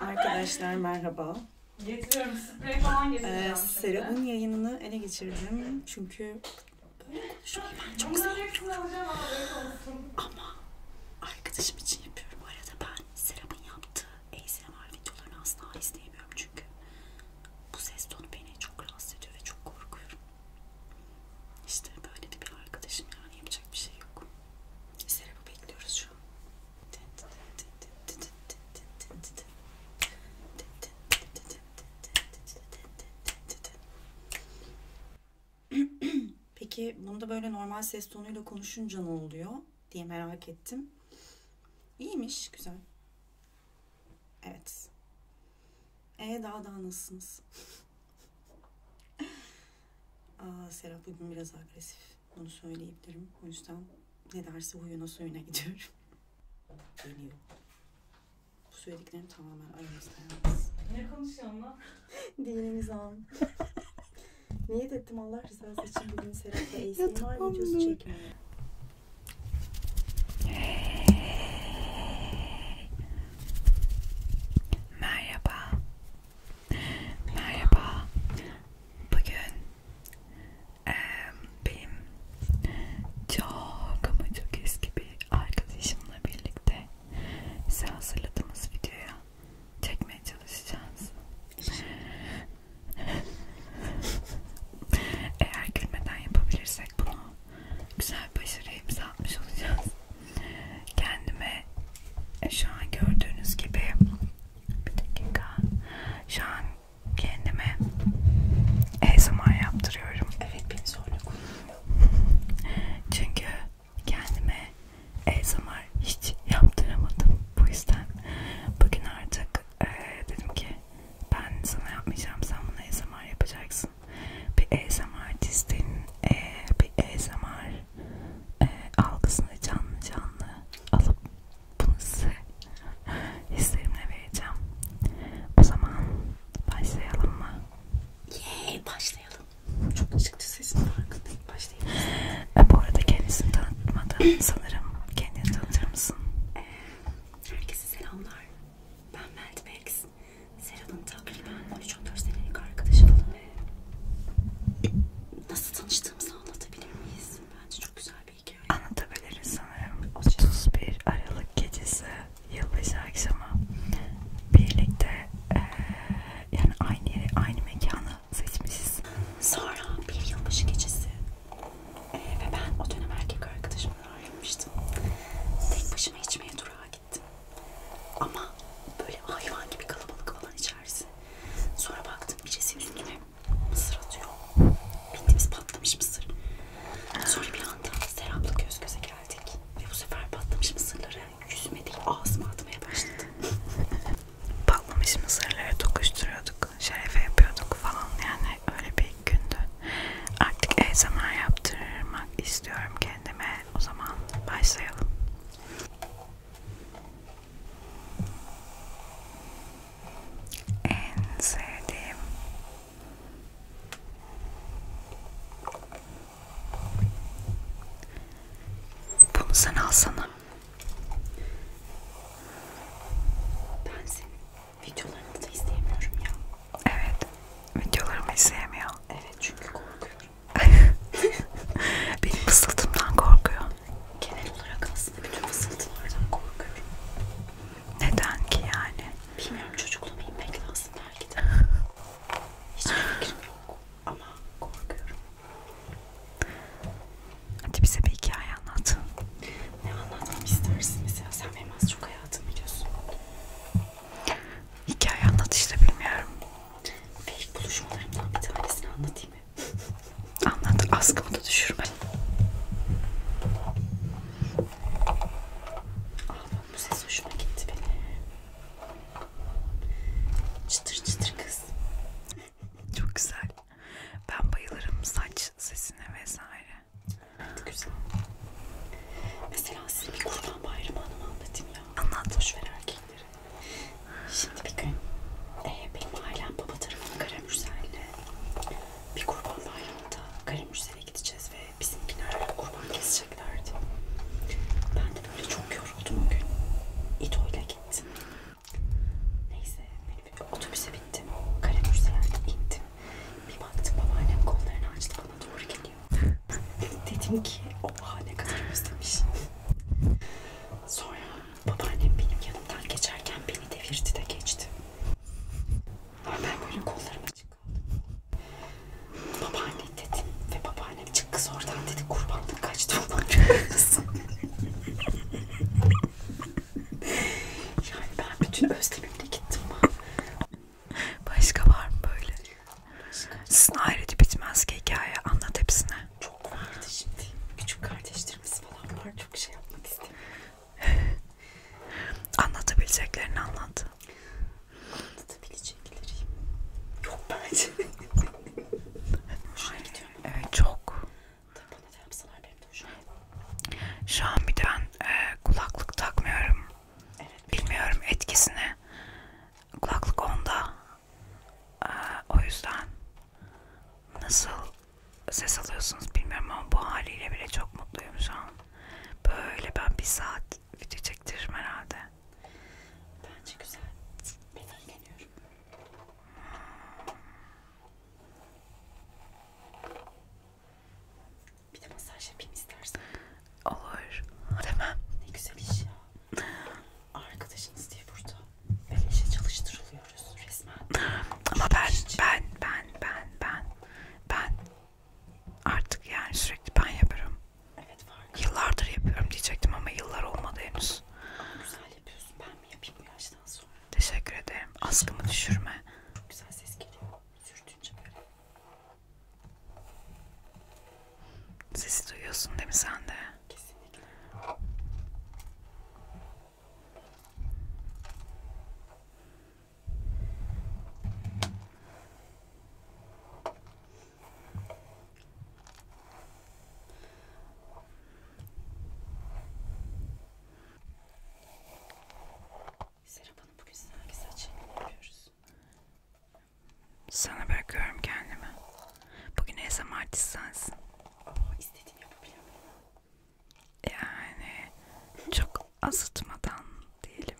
Arkadaşlar merhaba. Getiriyorum sprey falan getiriyorum. Ee, Serap'ın yayınını ele geçirdim. Çünkü böyle konuşmayı ben çok seviyorum. Ama arkadaşım için yapıyorum. Bu arada ben Serap'ın yaptığı ASMR videolarını asla izleyemiyorum çünkü. Bu ses tonu beni çok rahatsız ediyor ve çok korkuyorum. İşte böyle de bir arkadaşım yani yapacak bir şey yok. Serap'ı bekliyoruz şu an. Peki bunda böyle normal ses tonuyla konuşunca ne oluyor diye merak ettim. İyiymiş, güzel. Evet. E daha da nasılsınız? Aa, Serap bugün biraz agresif. Bunu söyleyebilirim. O yüzden ne derse huyuna suyuna gidiyorum. Geliyor. Bu söylediklerim tamamen aramızda yalnız. Ne konuşuyorsun lan? Dinimiz an. Niyet ettim Allah rızası için bugün Serap'la Eysen'in var videosu çekmeye. Merhaba. Merhaba. Bugün e, benim çok ama çok eski bir arkadaşımla birlikte size hazırladığımız videoya çekmeye çalışacağız. Eğer gülmeden yapabilirsek bunu güzel başarı imza atmış olacağız. Kendime şu an gördüğünüz gibi bir dakika şu an kendime ASMR yaptırıyorum. Evet beni zorla kullanıyor. Çünkü kendime ASMR hiç yaptıramadım. Bu yüzden bugün artık e, dedim ki ben sana yapmayacağım sen bunu ASMR yapacaksın bir ASMR artistinin e, bir ASMR e, algısını canlı canlı alıp bunu size hislerimle vereceğim o zaman başlayalım mı? Yeee başlayalım çok çıktı sesim farkındayım başlayalım e, bu arada kendisini tanıtmadım sanırım kendini tanıtır mısın? Evet. Herkese selamlar. Ben Meltmax. Serap'ın takriben 3-14 senelik arkadaşım ve nasıl tanıştığımızı anlatabilir miyiz? Bence çok güzel bir hikaye. Anlatabiliriz sanırım. 31 Aralık gecesi yılbaşı akşamı birlikte e, yani aynı yeri, aynı mekanı seçmişiz. Sonra bir yılbaşı gecesi ee, ve ben o dönem erkek arkadaşımdan ayrılmıştım. Tek başıma içmeye durağa gittim. Ama böyle hayvan gibi kalabalık alan içerisi. Sonra baktım birisi üstüme mısır atıyor. Bildiğimiz patlamış mısır. Sonra bir anda Serap'la göz göze geldik. Ve bu sefer patlamış mısırları yüzüme değil ağzıma atmaya başladı. patlamış mısırları tokuşturuyorduk yapıyorduk, şerefe yapıyorduk falan yani öyle bir gündü. Artık ASMR yaptırmak istiyorum kendime. O zaman başlayalım. En sevdiğim bunu sen alsana ben senin videolarını da izleyemiyorum ya. Evet. Videolarımı izleyemiyor. Evet çünkü korkuyorum. Benim fısıltımdan korkuyor. Genel olarak aslında bütün fısıltılardan korkuyorum. Neden ki yani? Bilmiyorum çocukluğumu inmek lazım belki de. Hiçbir fikrim yok ama korkuyorum. Hadi bize bir hikaye anlat. Ne anlatmam istersin mesela? Sen benim az çok hayatımı biliyorsun. Hikaye anlat işte bilmiyorum. Ve ilk buluşmalarımdan bir tanesini anlatayım mı? Anlat, askımı da düşürme. Ah bak bu ses hoşuma gitti benim. Çıtır çıtır kız. Çok güzel. Ben bayılırım saç sesine vesaire. Evet güzel. Mesela size bir kurban bayramı anımı anlatayım ya. Anlat. Boşver erkekleri. Şimdi bir gün e, benim ailem baba tarafı Karamürsel'le bir kurban bayramında Karamürsel'e gideceğiz ve bizimkiler kurban keseceklerdi. Ben de böyle çok yoruldum o gün. İdo'yla gittim. Neyse benim otobüse bittim. Kalemürs'e yani indim. Bir baktım babaannem kollarını açtı bana doğru geliyor. Dedim ki oha ne kadar özlemiş. Sonra babaannem benim yanımdan geçerken beni devirdi de geçti. Ama ben böyle kollarım açık kaldım. Babaanne dedim ve babaannem çık kız oradan dedi kurbanlık kaçtı falan. yani ben bütün özlemimle gittim. Başka var mı böyle? Sizin ayrıca bitmez ki hikaye. Anlat hepsine. Çok vardı şimdi. Küçük kardeşlerimiz falan var. Çok şey yapmak istedim. Anlatabileceklerini anlat. Anlatabilecekleri yok bence. Hoşuna gidiyor mu? Evet çok. Tabii bana da yapsalar benim de hoşuma Şu an bir de ben e, kulaklık takmıyorum. Evet. Bilmiyorum etkisini. Kulaklık onda. E, o yüzden nasıl ses alıyorsunuz bilmiyorum ama bu haliyle bile çok mutluyum şu an. Böyle ben bir saat video çektiririm herhalde. Bence güzel. Ben eğleniyorum. Hmm. Bir de masaj yapayım istersen. Olur. Demem. Ne güzel iş ya. Arkadaşınız diye burada beleşe çalıştırılıyoruz resmen. Ama ben, ben, ben, ben, ben, ben artık yani sürekli ben yaparım. Evet farkında. Yıllardır yapıyorum diyecektim ama yıllar olmadı henüz. Ama güzel yapıyorsun. Ben mi yapayım bu yaşta? makyajdan sonra. Teşekkür ederim. Askımı düşürme. Güzel ses geliyor. Sürtünce böyle. Sesi duyuyorsun değil mi sen de? Kesinlikle. Serap Hanım bugün size hangi saç yapıyoruz? Sana bırakıyorum kendimi. Bugün en samartist sensin. Ama oh, istediğini yapabiliyor muyum? Yani çok azıtmadan diyelim.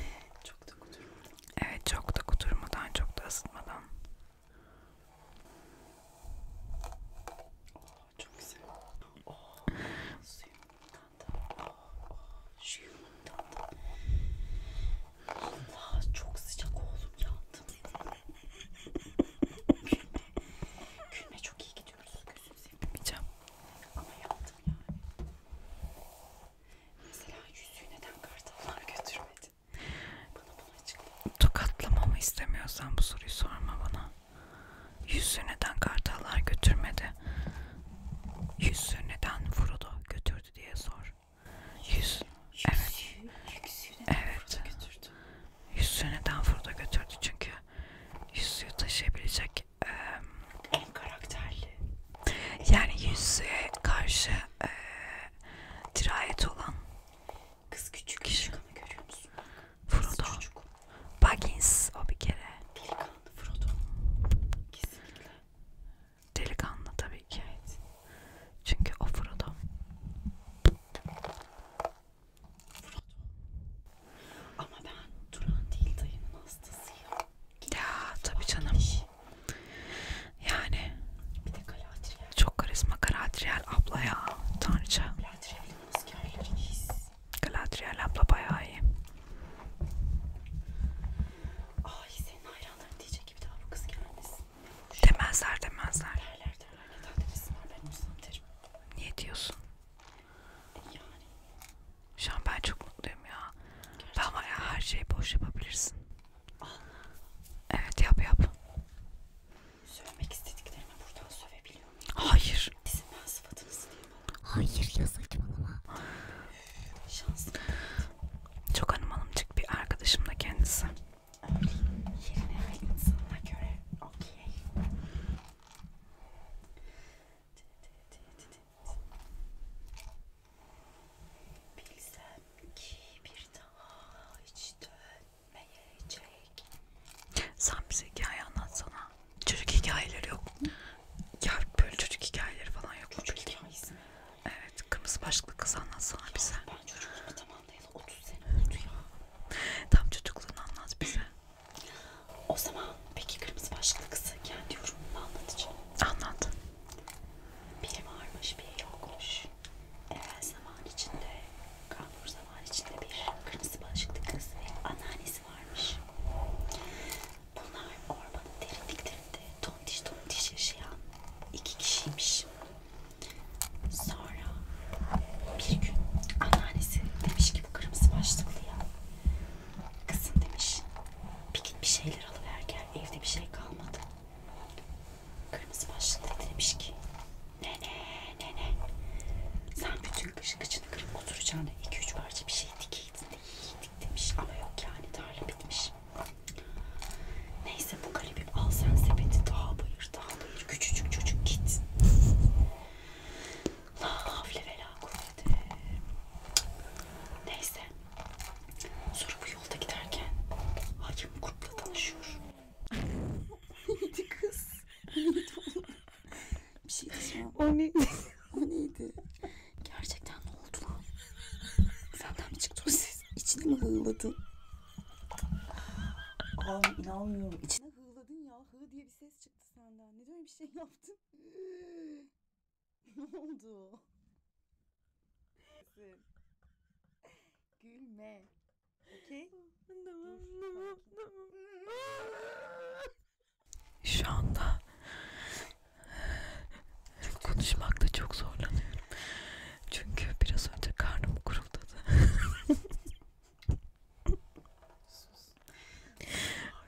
Çok da kudurmadan. Evet çok da kudurmadan, çok da ısıtmadan. Oh, çok güzel. Oh, suyumundan da, oh, şu yumundan da. Allah çok sıcak oğlum yandım. Gülme, gülme çok iyi gidiyoruz. Gözünüzü yapamayacağım. Ama yandım yani. Mesela yüzüğü neden kartallar götürmedi? Bana bunu açıklayayım. Tokatlamamı istemiyorsan bu soruyu sorma bana. Yüzü neden kartallar götürmedi? Yüzü neden Frodo götürdü diye sor. Yüz, evet. Evet. Yüzü neden Frodo götürdü? Çünkü yüzüğü taşıyabilecek e, en karakterli. Yani yüzüğe karşı e, dirayet olan Kız küçük küçük ama görüyor musun? Kız Frodo. Çocuk. Baggins o bir kere. Delikanlı Frodo. Kesinlikle. Delikanlı tabii ki. Evet. Çünkü o Frodo. Frodo. Ama ben Turan değil dayının hastasıyım. Ya tabii canım. Gidiş. Yani. Bir de Galadriel. Çok karizma Galadriel abla ya. Tanrıça. Galadriel'in askerleriyiz. Galadriel abla bayağı iyi. Ay senin hayranların diyecek ki bir daha bu kız gelmesin. Demezler demezler. Derler derler. Neden demesinler ben olsam derim. Niye diyorsun? E yani. Şu an ben çok mutluyum ya. Gerçekten. Ben bayağı her şeyi boş yapabilirsin. Al. Evet yap yap. Sövmek istediklerimi buradan sövebiliyor muyum? Hayır. Sizin ben sıfatınızı diye bana. Hayır ya saçmalama. Şanslı. Çok hanım hanımcık bir arkadaşım da kendisi. Öyleyim. Yerine ve insanına göre okey. Bilsem ki bir daha hiç dönmeyeceğim ne yiyecek? Sen bize hikaye anlatsana. Çocuk hikayeleri yok. Ya böyle çocuk hikayeleri falan yok. Çocuk hikayesi mi? Evet, kırmızı başlıklı kız anlatsana ya bize. Ben çocukluğumu tamamlayalı 30 sene oldu ya. Tam çocukluğunu anlat bize. O zaman peki kırmızı başlıklı kızı kendi yorumunu anlatacağım. Anlat. Biri varmış, biri yokmuş evvel zaman içinde, kanun zaman içinde bir kırmızı başlıklı kız ve anneannesi varmış. Bunlar ormanın derinliklerinde tontiş tontiş yaşayan iki kişiymiş. Sonra bir gün anneannesi demiş ki bu kırmızı başlıklıya kızım demiş bir git bir şeyler alıver gel evde bir şey kalmadı. Kırmızı başlıklı demiş ki ne ne ne ne. Sen bütün kışın kıçını kırıp oturacağına 2-3 parça bir şey dikeydin de yiydik demiş. Ama yok yani tarla bitmiş. Neyse bu kalemim al sen sepeti daha bayır daha bayır. Küçücük çocuk git. La havle ve la kuvvete. Neyse. Sonra bu yolda giderken Ayım Kurt'la tanışıyor neydi kız? Neydi oğlum? Bir şey diyeceğim. O neydi? o neydi? Gerçekten ne oldu lan? Senden mi çıktı o ses? İçine mi hığladın? Abi inanmıyorum. İçine hığladın ya. Hı diye bir ses çıktı senden. Ne diyorum bir şey yaptın? ne oldu? Gülme. Okey. Tamam, tamam, tamam. Şu anda konuşmakta çok zorlanıyorum. Çünkü biraz önce karnım kuruldadı.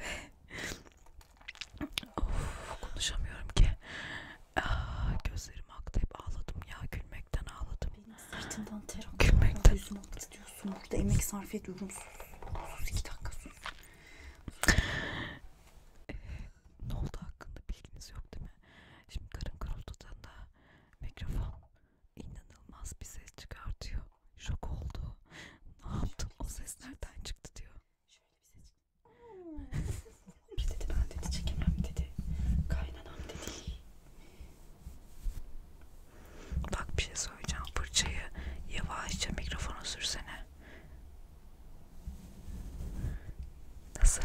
Ve of, konuşamıyorum ki. Aa, ah, gözlerim aktı. Hep ağladım ya. Gülmekten ağladım. Benim sırtımdan ter akıyor. Gülmekten. Yüzüme titriyorsun. Burada emek sarf ediyorum. Sus. Sus iki dakika sus. sus. Ee, ne oldu hakkında bilginiz yok değil mi? Şimdi karın karıltıdığında mikrofon inanılmaz bir ses çıkartıyor. Şok oldu. Ne yaptın? O ses nereden çıktı diyor. Şöyle bir ses. bir dedi ben dedi çekemem dedi. Kaynanam dedi. Bak bir şey söyleyeceğim. Fırçayı yavaşça mikrofona sürsene. Nasıl?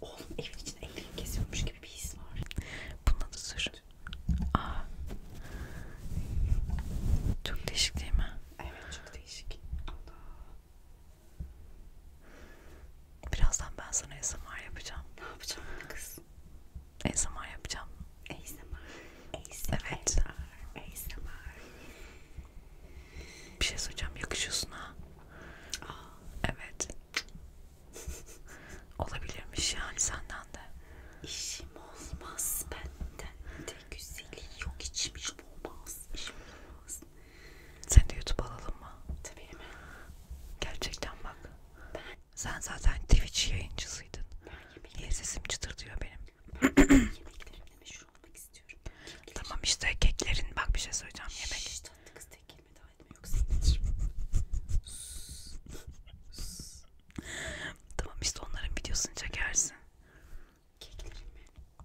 Oğlum evin içinde ekmek kesiyormuş gibi bir his var. Bununla da sür. Aa. Çok değişik değil mi? Evet çok değişik. Allah. Birazdan ben sana ASMR yapacağım. Ne yapacağım kız? ASMR yapacağım. ASMR. ASMR. Evet. ASMR. Bir şey soracağım. Yakışıyorsun ha. Aa. Evet. Olabilirmiş yani senden de. İşim olmaz benden de güzeli yok içmiş olmaz. İşim olmaz. Sen de YouTube alalım mı? Tabii hemen. Gerçekten bak. Ben. Sen zaten Twitch yayıncısıydın. Niye sesim çıtır diyor benim? Yemeklerimle meşhur olmak istiyorum. Kekler. Tamam işte keklerin bak bir şey söyleyeceğim yemek. Şşş tatlı kız tek kelime daha etme yoksa Tamam işte onların videosunu çekersin. Keklerin mi?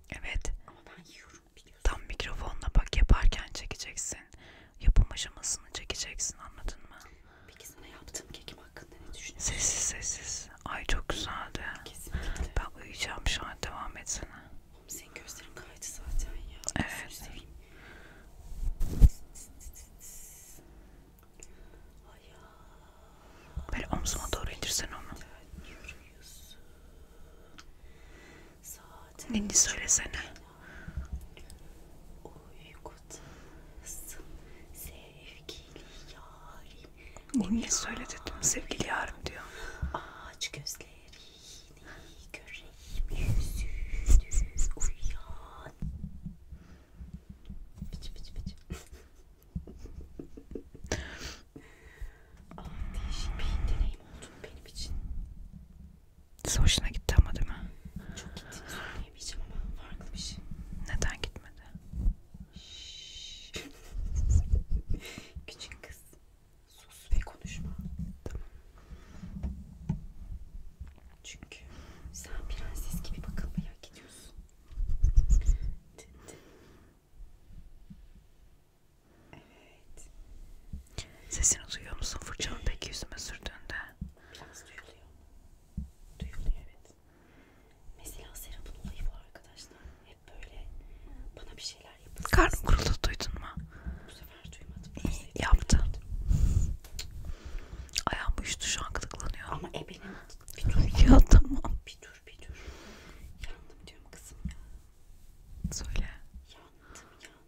Evet. Ama ben yiyorum. Tam mikrofonla bak yaparken çekeceksin. Yapım aşamasını çekeceksin anladın mı? Peki sana yaptığım kekim hakkında ne düşünüyorsun? Sessiz sessiz. Ay çok güzeldi. Kesinlikle. Ben uyuyacağım şu an devam etsene. Oğlum senin gözlerin kaydı zaten ya. Evet. Böyle omzuma doğru indirsen onu. Yürüyorsun. Neni söylesene. Neni söyle dedim sevgili yarım diyor. Aç gözlerini göreyim yüzünü uyan. Piç piç piç değişik bir deneyim oldu benim için. Siz hoşuna gitti ama değil mi? Çok gittiğini söyleyemeyeceğim ama farklı bir şey. Neden gitmedi? Küçük kız sus ve konuşma. Tamam. Çünkü sen prenses gibi bakılmaya gidiyorsun. Evet. Sesini duyuyor musun fırçanın peki yüzüme sürdüğünde? Biraz duyuluyor. Duyuluyor evet. Mesela Serap'ın olayı bu arkadaşlar. Hep böyle bana bir şeyler yapıyor. Karnım kuruldu duydun mu? Bu sefer duymadım. Bu Yaptı. Ayağım uyuştu şu an gıdıklanıyor. Ama ebenin bir dur. Ya tamam. Bir dur bir dur. Yandım diyorum kızım ya. Söyle. Yandım yandım.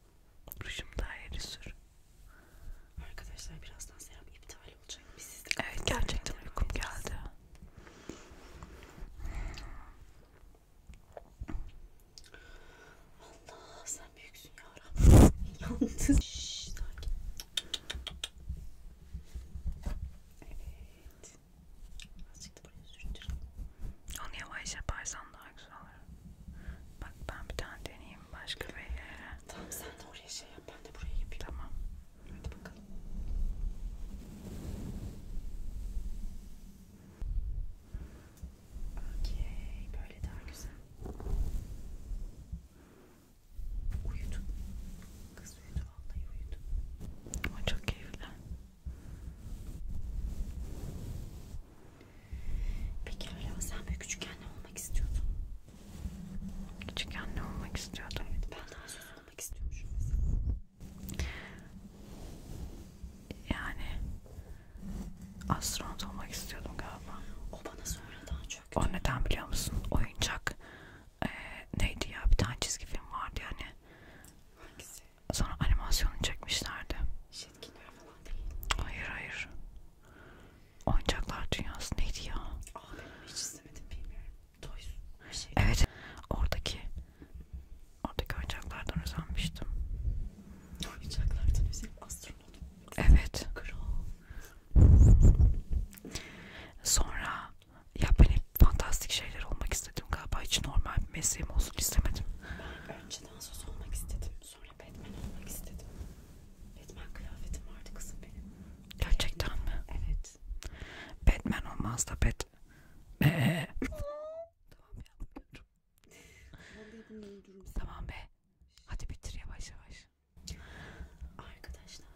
Rujum daha ileri sür. Arkadaşlar birazdan serum iptal olacak. Biz siz de evet gerçekten uykum geldi. Allah sen büyüksün yarabbim. Yalnız. Şşş sakin. Evet. Azıcık da buraya sürtüreyim. Onu yavaş yaparsan daha güzel Bak ben bir tane deneyeyim başka bir yere. Tamam sen de oraya şey yap ben de buraya yapayım. Tamam. Hadi bakalım. Okey böyle daha güzel. Uyudu. Kız uyudu vallahi uyudu. Ama çok keyifli. Peki öyle sen böyle küçükken ne olmak istiyordun? Küçükken ne olmak istiyordum? Evet ben daha söz olmak istiyormuşum mesela. Yani astronot olmak istiyordum galiba. O bana sonradan çöktü. O neden biliyor musun? Oyuncak ee, neydi ya bir tane çizgi film vardı yani. Hangisi? Sonra animasyonu çekmişlerdi. Şetkinler falan değil. Hayır hayır. Oyuncaklar dünyası neydi ya? Aa, ah, hiç istemedim bilmiyorum. Toys her şey. Evet. Oradaki oradaki oyuncaklardan özenmiştim. Oyuncaklardan özenip astronot. Evet. Kral. Sonra ya ben hep fantastik şeyler olmak istedim galiba hiç normal bir mesleğim olsun istemedim. Ben önceden söz olmak istedim. Sonra sonra Batman olmak istedim. Batman kıyafetim vardı kızım benim. Gerçekten Batman. mi? Evet. Batman olmaz da Bat... Be. tamam ya. tamam be. Hadi bitir yavaş yavaş. Arkadaşlar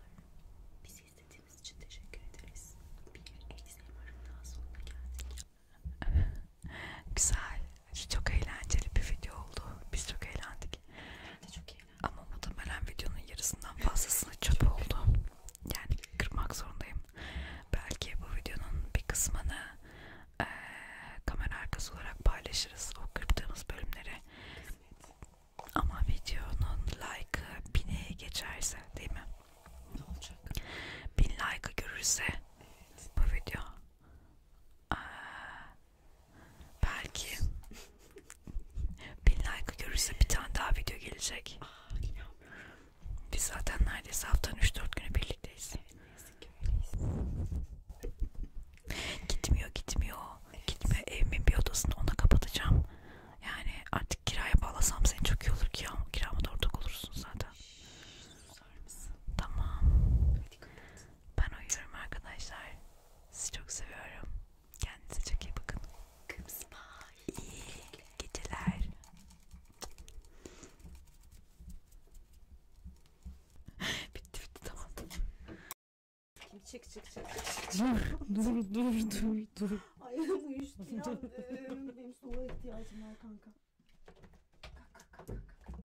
bizi izlediğiniz için teşekkür ederiz. Bir egzim arın daha sonuna geldik. Güzel. Çok eğlenceli bir video oldu. Biz çok eğlendik. Çok Ama muhtemelen videonun yarısından fazlasını çöp oldu. Yani kırmak zorundayım. Belki bu videonun bir kısmını e, kamera arkası olarak paylaşırız. O kırdığımız bölümleri. Ama videonun like'ı bine geçerse değil mi? Ne olacak? Bin like'ı görürse evet. bu video. Aa, Belki bin like görürse bir tane daha video gelecek. Aa, Biz zaten neredeyse haftanın 3-4 günü birlikteyiz. gitmiyor gitmiyor. Evet. Gitmiyor evimin bir odasını ona kapatacağım. Yani artık kiraya bağlasam seni çok iyi olur ki ama kiramı da ortak olursun zaten. Şş, tamam. Hadi, ben uyuyorum arkadaşlar. Sizi çok seviyorum. Kendinize çok iyi bakın. İyi geceler. bitti bitti tamam. Çık çık çık. Dur dur dur dur dur. Ay uyuştu ya. Benim soğuğa ihtiyacım var kanka. Kalk kalk kalk. kalk.